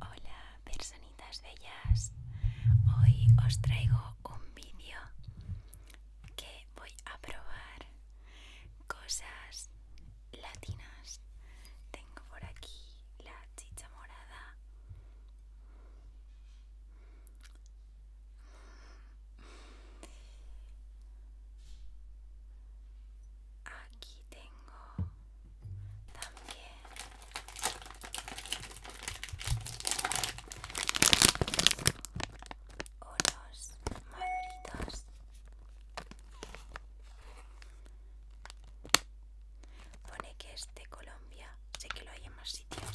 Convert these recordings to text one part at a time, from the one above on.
Hola personitas bellas, hoy os traigo un vídeo que voy a probar cosas latinas. Tengo por aquí la chicha morada. Aquí tengo también oros maduritos. Pone que es de Colombia, sé que lo hay en más sitios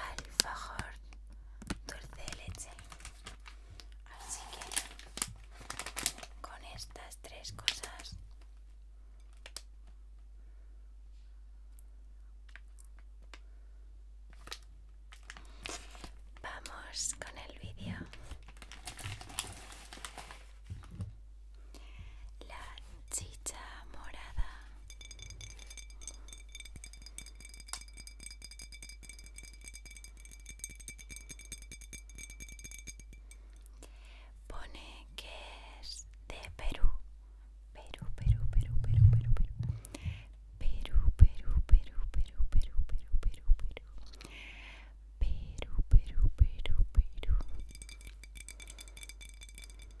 alfajor dulce leche así que con estas tres cosas Vamos con el vídeo la chicha morada pone que es de Perú Perú, Perú, Perú, Perú, Perú, Perú Perú, Perú, Perú, Perú, Perú, Perú, Perú, Perú Perú, Perú, Perú, Perú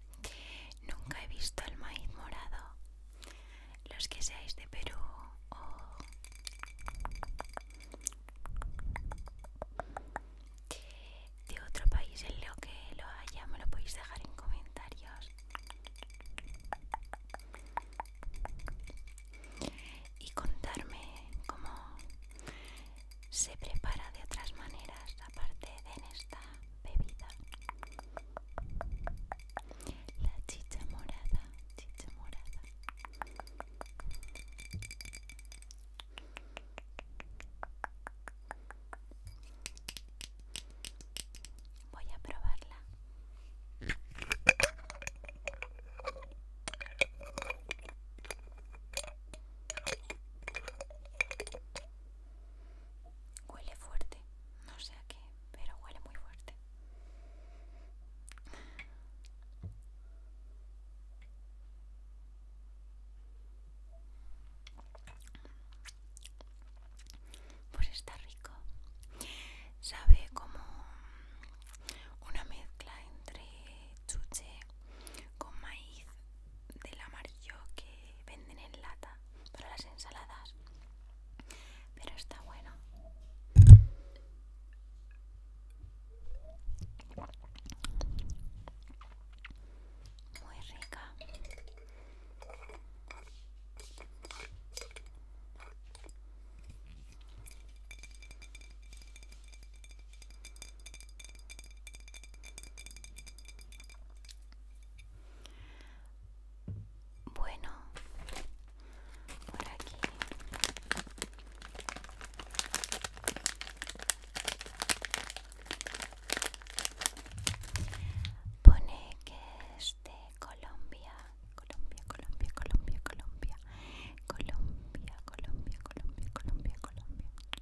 Nunca he visto el maíz morado. Los que seáis de Perú o de otro país en lo que lo haya, me lo podéis dejar en comentarios. Y contarme cómo se prepara de otras maneras, aparte de en esta bebida la chicha morada chicha morada voy a probarla Huele fuerte, no sé a qué, pero huele muy fuerte. Pues está rico. Sabe como una mezcla entre chuche con maíz del amarillo que venden en lata para las ensaladas pero está bueno muy rica bueno, por aquí. Pone que es de Colombia, Colombia, Colombia, Colombia, Colombia, Colombia, Colombia, Colombia, Colombia, Colombia,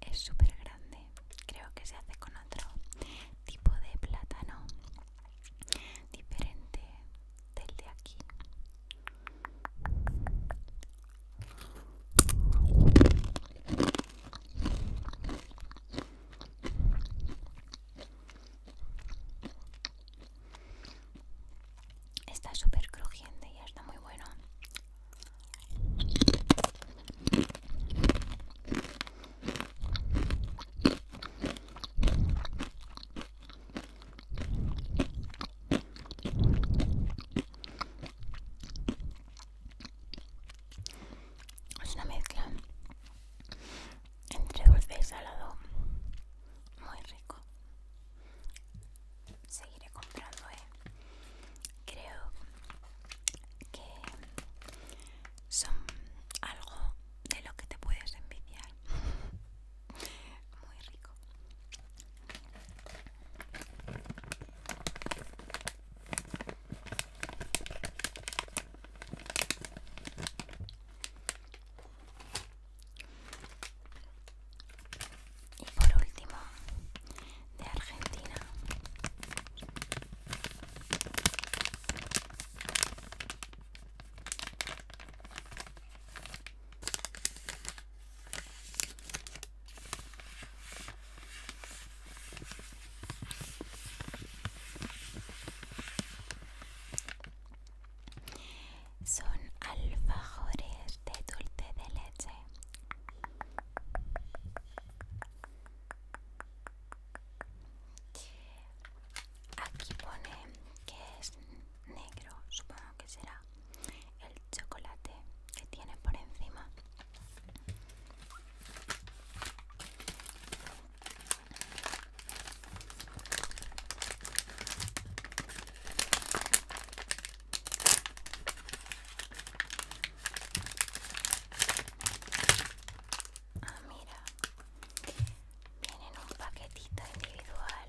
es súper grande creo que se hace con otro tipo de plátano diferente del de aquí Está súper crujiente y está muy bueno. Es una mezcla entre dulce y salado muy rico seguiré comprando eh. creo que son algo de lo que te puedes envidiar muy rico y por último, de Argentina. Son alfajores de dulce de leche Aquí pone que es negro, supongo que será el chocolate que tiene por encima. Ah, mira, vienen un paquetito individual.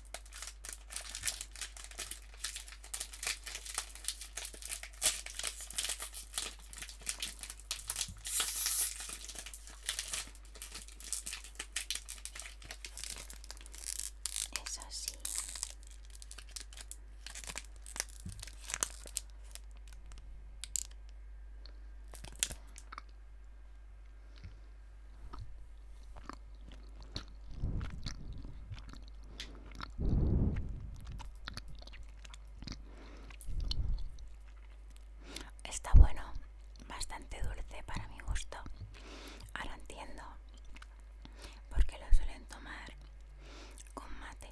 Eso sí Está bueno, bastante dulce para mi gusto. Ahora entiendo porque lo suelen tomar con mate,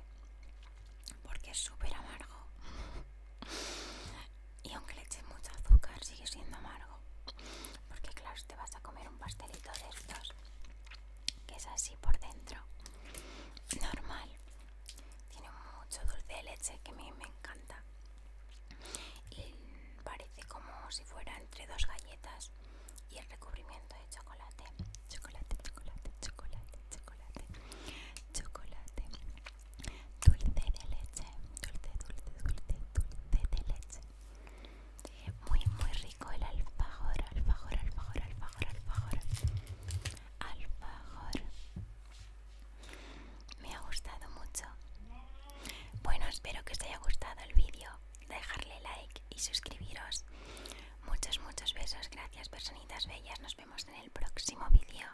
porque es súper amargo. Y aunque le eche mucho azúcar, sigue siendo amargo. Porque claro, te vas a comer un pastelito de estos, que es así por dentro, normal. Tiene mucho dulce de leche que a mí me encanta. Y parece como si fuera entre dos galletas y el recubrimiento de chocolate. Chocolate, chocolate, chocolate, chocolate, chocolate dulce de leche, dulce, dulce, dulce, dulce de leche. Muy, muy rico el alfajor, alfajor, alfajor, alfajor, alfajor. Alfajor. Me ha gustado mucho. Bueno, espero que os haya gustado el vídeo. Dejarle like y suscribiros. Muchos, muchos besos. Gracias, personitas bellas. Nos vemos en el próximo vídeo.